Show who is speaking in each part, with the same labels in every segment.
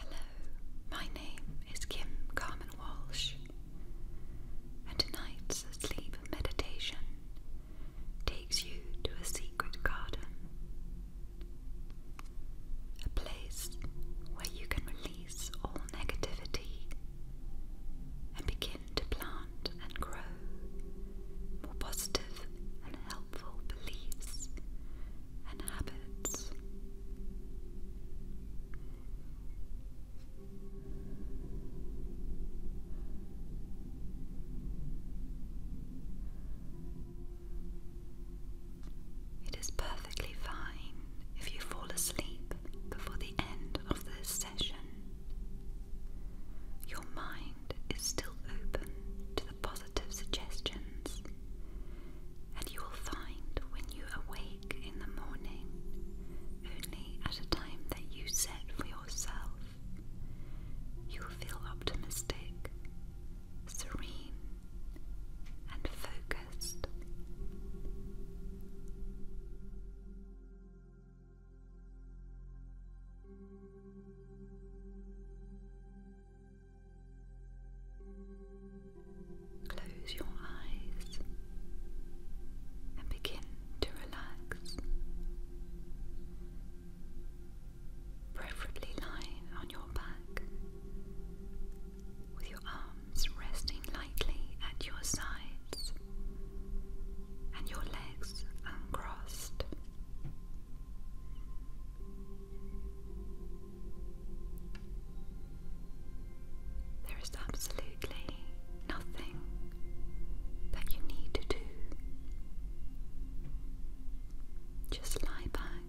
Speaker 1: Hello, my name is Kim Carmen Walsh, and tonight's sleep meditation takes you to a secret garden a place where you can release all negativity and begin to plant and grow more positive and helpful beliefs
Speaker 2: and habits.
Speaker 1: It is perfectly fine if you fall asleep before the end of this session. Your mind is still open to the positive suggestions, and you will find when you awake in the morning, only at a time that you set for yourself, you will feel optimistic serene,
Speaker 2: and focused. Close your eyes
Speaker 1: and begin to relax preferably lying on your back, with your arms resting lightly at your sides and your legs uncrossed. There is absolutely nothing that you need to do. Just lie back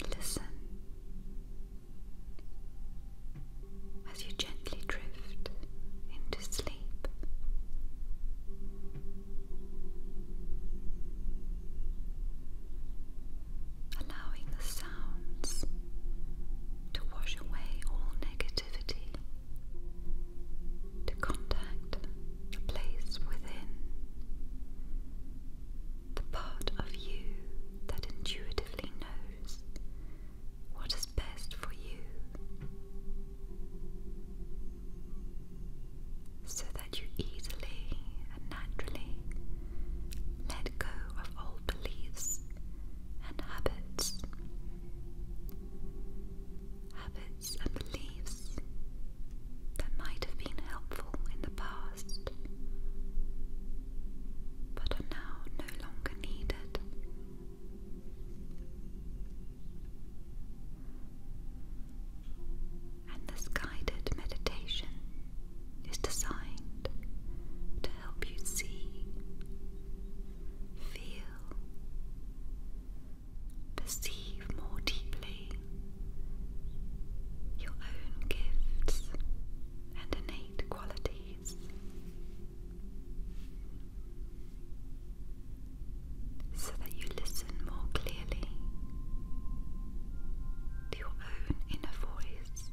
Speaker 1: and listen as you gently drift into sleep. Allowing the sounds to wash away all negativity, to contact the place within, the part of you that intuitively knows what is best for you, so that you easily and naturally let go of old beliefs and habits. Habits and beliefs that might have been helpful in the past but are now no longer needed. And this guided meditation is designed to help you see, feel, perceive more deeply your own gifts and innate qualities. So that you listen more clearly to your own inner voice.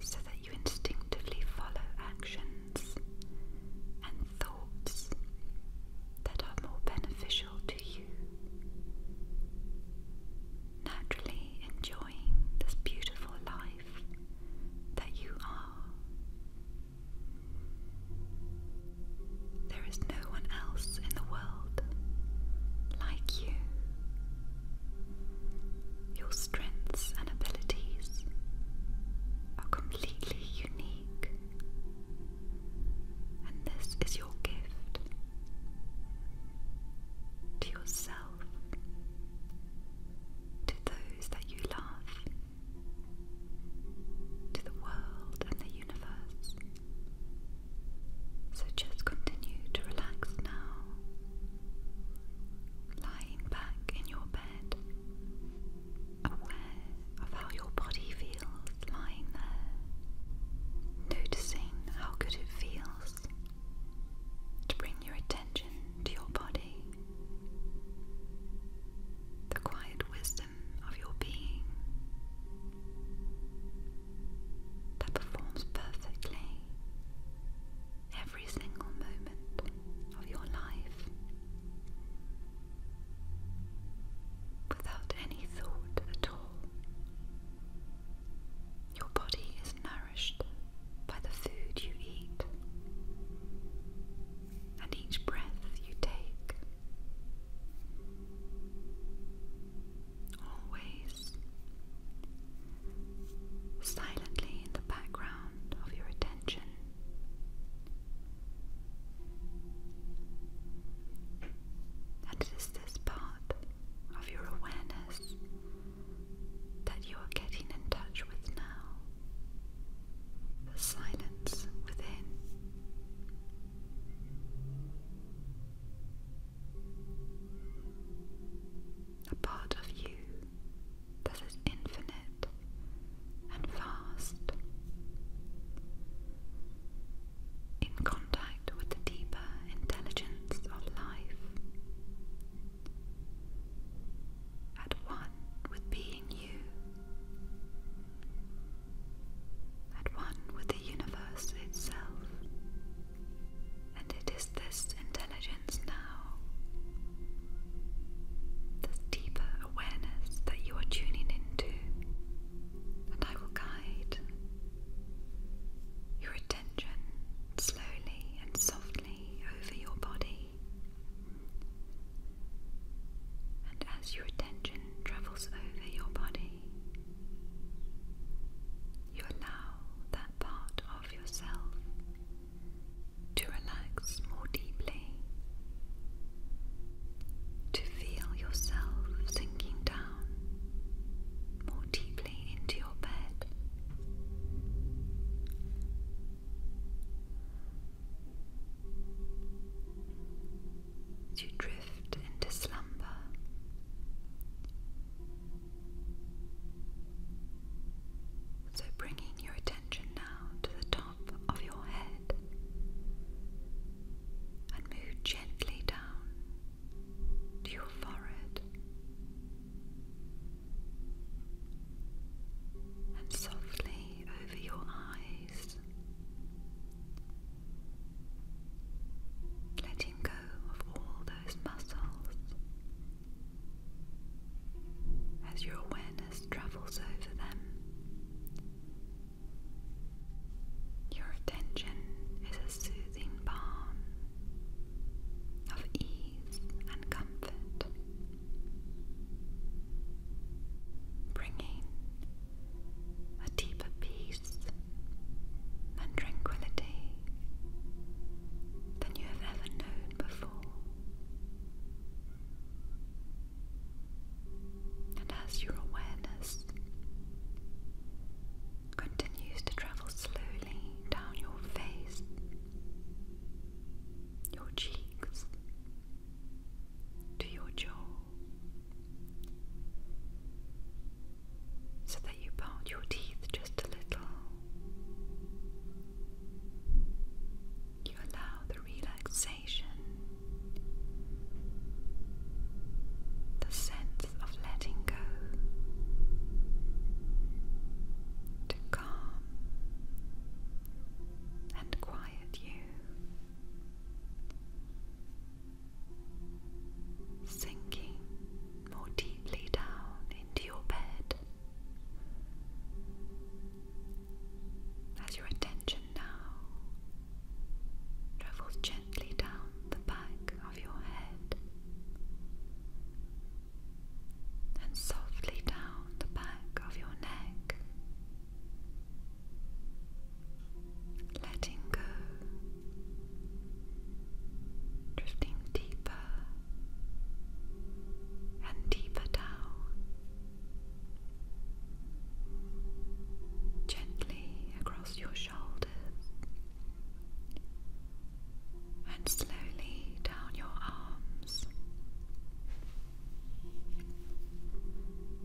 Speaker 1: So that you instinctively follow action and thoughts that are more beneficial to you. Naturally enjoying this beautiful life that you are. There is no one else in the world like you. Your strengths and abilities are completely unique. And this is your gift to yourself, to those that you love, to the world and the universe. So just continue to relax now, lying back in your bed aware of how your body feels lying there, noticing how good it feels to bring your attention to your body, the quiet wisdom
Speaker 2: of your being that performs perfectly
Speaker 1: every single moment of your life. Without any thought at all, your body is nourished by the food you eat, and each breath you take. Always silently in the background of your attention and it is this part of your awareness that you are getting in touch with now the silence within. A part of you that is infinite and vast, In contact with the deeper intelligence of life, at one with being you, at one with the universe itself, and it is this intelligence now this deeper awareness that you are tuning into, and I will guide your attention slowly and softly over your body. And as your attention travels over your body, you allow that part of yourself to relax more deeply, to feel yourself sinking down more deeply into your bed. To drift into slumber. So, bringing your attention now to the top of your head and move gently down to your forehead and softly over your eyes, letting go of all those muscles as your awareness travels over them. Your attention is a soothing balm of ease and comfort, bringing a deeper peace and tranquility than you have ever known before. And as your awareness continues to travel slowly down your face, your cheeks, to your jaw, so that you part your teeth just a little. You allow the relaxation the sense of letting go, to calm and quiet you. Sinking more deeply down into your bed, as your attention now travels gently down the back of your head and softly down the back of your neck, letting go, drifting deeper and deeper down gently across your shoulders and slowly down your arms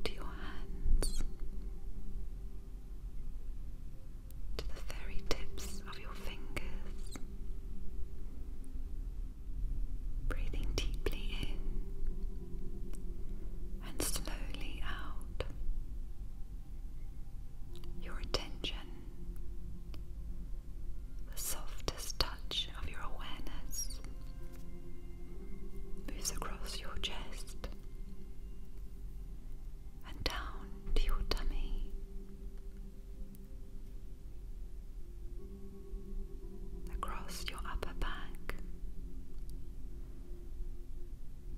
Speaker 1: to your hands to the very tips of your fingers breathing deeply in and slowly out. Your attention, the softest touch of your awareness, moves across your chest and down to your tummy across your upper back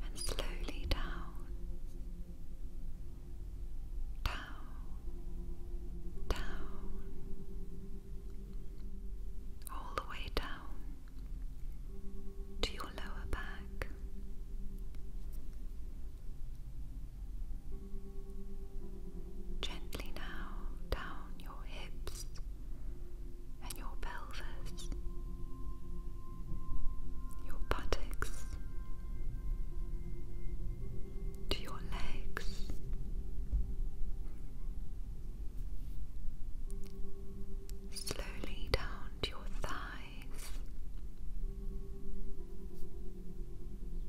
Speaker 1: and slowly down, down, down, all the way down to your lower back. Gently now down your hips and your pelvis, your buttocks, to your legs.
Speaker 2: Slowly down to your thighs,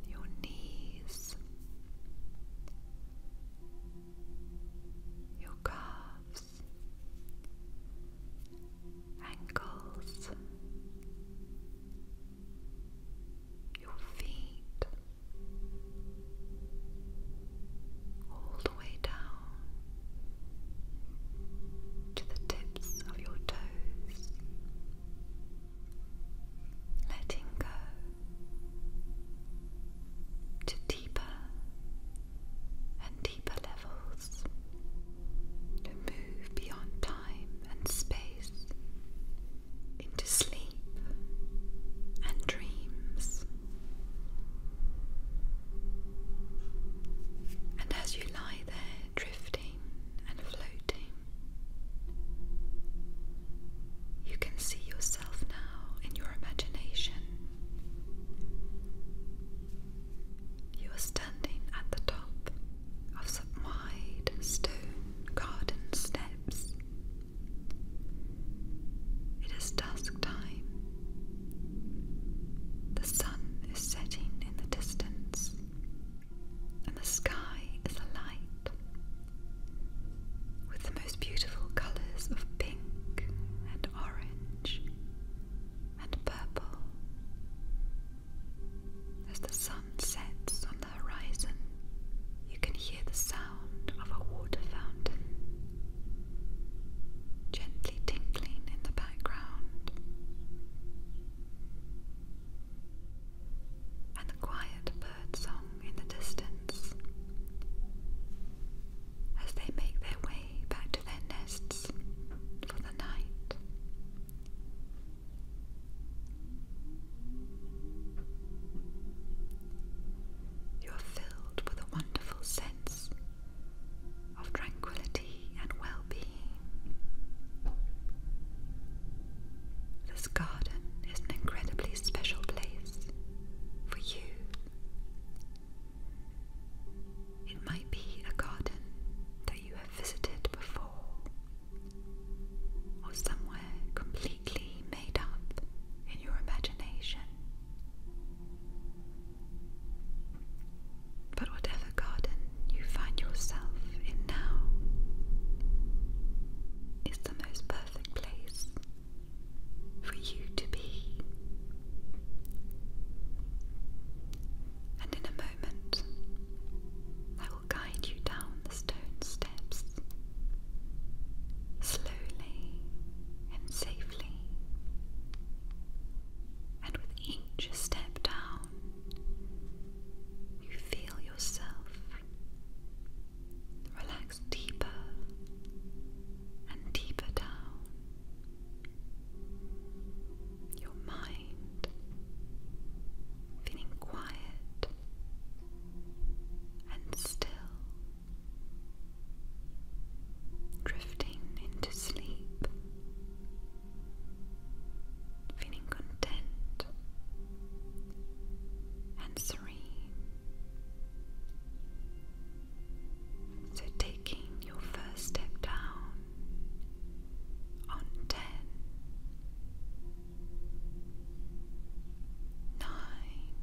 Speaker 1: your knees, your calves, ankles, your feet, all the way down to the tips of your toes, letting go to deeper and deeper
Speaker 2: levels,
Speaker 1: to move beyond time and space into sleep and dreams. And as you lie there, drifting and floating, you can see yourself now in your imagination you are standing at the top of some wide stone garden steps. It is dusk time. The sun is setting in the distance, and the sky is alight with the most beautiful colours of pink and orange and purple. As the sun sets on the horizon, you can hear the sound of a water fountain gently tinkling in the background. And the quiet bird in the distance as they make their way back to their nests for the night. You are filled with a wonderful sense of tranquility and well being. This garden is an incredibly special place for you it might be a garden that you have visited before, or somewhere completely made up in your imagination. But whatever garden you find yourself in now is the most perfect place for you to be. And in a moment, I will guide you down the stone steps, slowly and
Speaker 2: safely.
Speaker 1: And with each step down, you feel yourself Relax deeper and deeper down. Your mind feeling quiet and still, drifting into sleep, feeling content and serene. So, taking your first step down on ten, nine,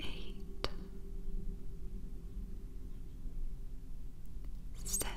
Speaker 1: eight, seven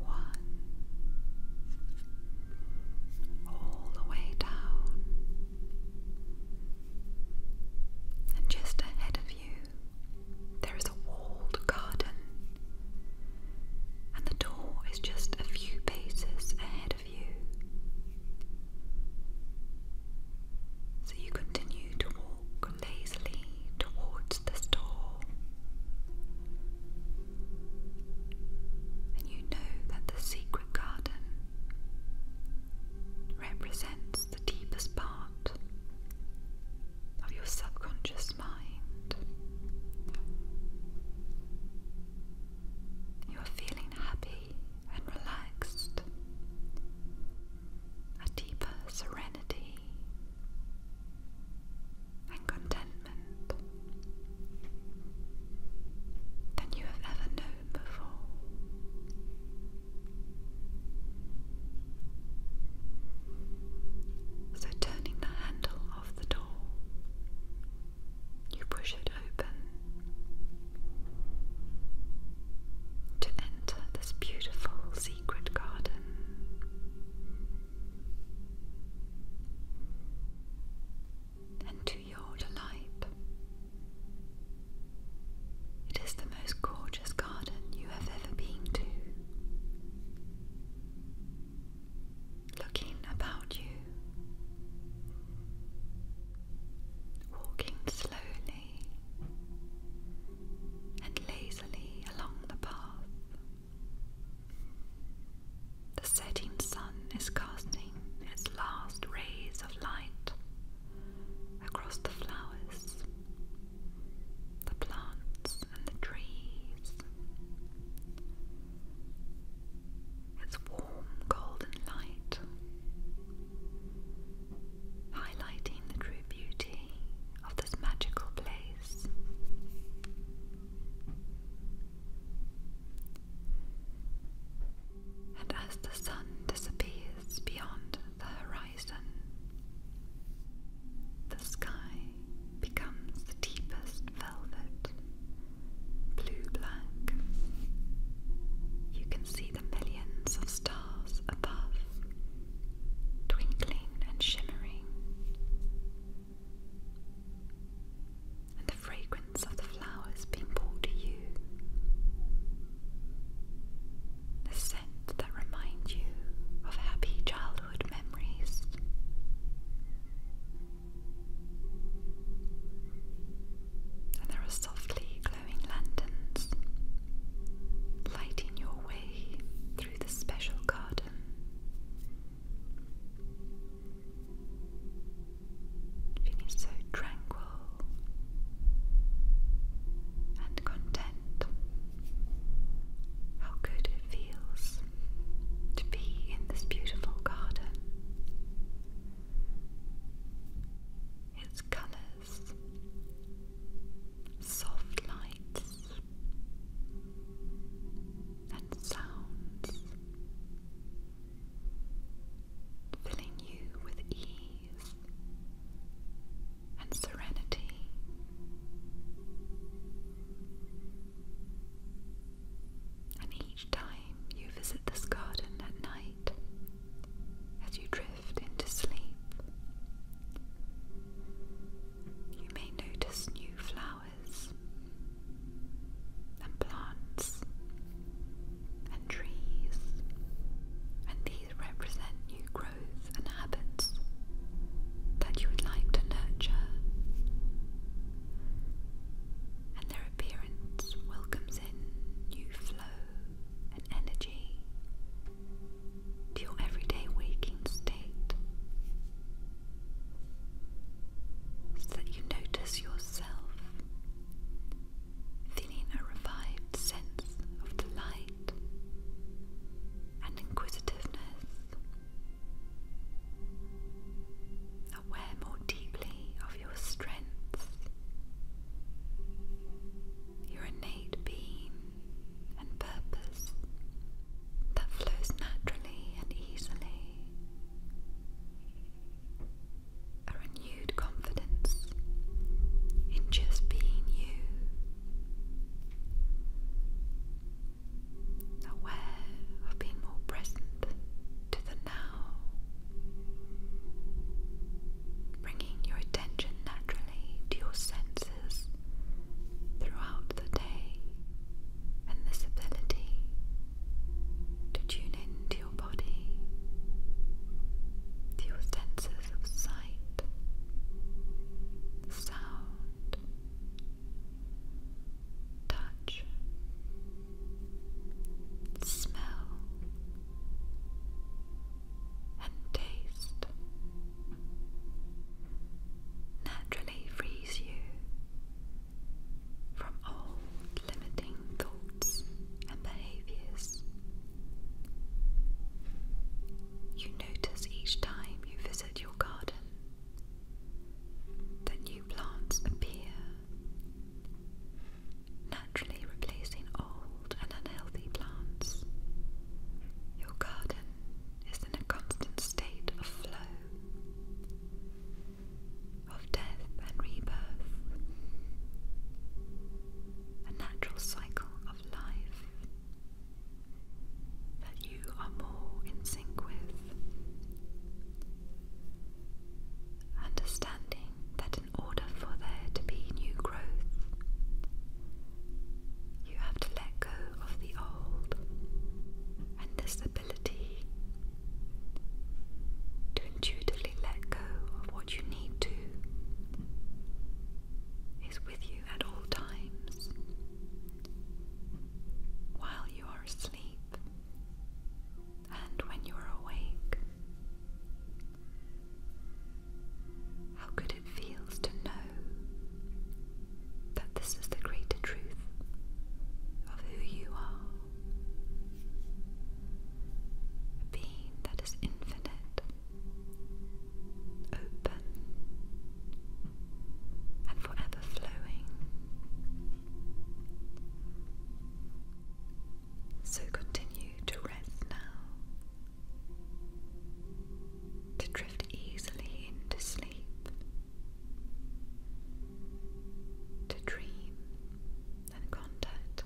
Speaker 1: one, all the way down, and just ahead of you, there is a walled garden, and the door is just a few paces ahead of you. So you continue to walk lazily towards the store, and you know that the secret garden represents the deepest part of your subconscious mind. You are feeling happy and relaxed, a deeper serenity and contentment than you have ever known before. So, turning the handle of the door, you push it to enter this beautiful secret garden. And to your delight, it is the most gorgeous garden you have ever been to. Looking about you, walking slowly and lazily along the path. The setting sun is casting its last rays of light across the flowers, the plants, and the trees golden light, highlighting the true beauty of this magical place. And as the sun disappears beyond the horizon, the sky becomes the deepest velvet, blue black. You can see the millions of stars above, twinkling and shimmering, and the fragrance of the flowers being brought to you, the scent that reminds you of happy childhood memories. And there are softly lanterns, lighting your way through the special garden. Feeling so tranquil and content. How good it feels to be in this beautiful garden its colors, soft lights, and sounds, filling you with ease and serenity. And each time you visit this garden at night as you drift into sleep. You may notice new flowers and plants and trees, and these represent new growth and habits that you would like to nurture. And their appearance welcomes in new flow and energy to your everyday waking state so that you notice yourself feeling a revived sense of delight and inquisitiveness, aware more deeply of your strength, your innate being and purpose that flows naturally and easily, a renewed confidence in just being you. Aware of being more present to the now bringing your attention naturally to your senses throughout the day, and this ability to tune in your body, to your senses of sight, sound, touch, smell, and taste naturally frees you from old limiting thoughts and behaviors. You notice each time you visit your garden that new plants appear naturally replacing old and unhealthy plants. Your garden is in a constant state of flow, of death and rebirth, a natural cycle of life that you are more in sync with understanding that in order for there to be new growth, you have to let go of the old. And this ability to intuitively let go of what you need to is with you at all times. While you are asleep and when you are awake, how good it feels to know that this is the greater truth of who you are. A being that is infinite, open, and forever flowing. So continue to rest now, to drift easily into sleep, to dream and contact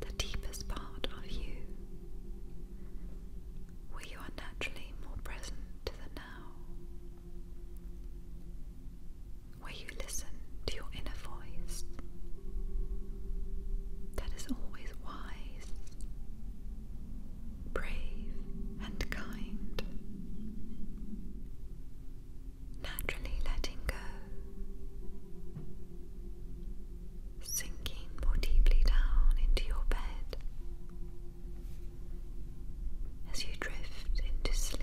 Speaker 1: the deepest part of you, where you are naturally more present to the now, where you listen to your inner voice. That is always wise, brave, and kind. Naturally letting go, sinking more deeply down into your bed as you drift into sleep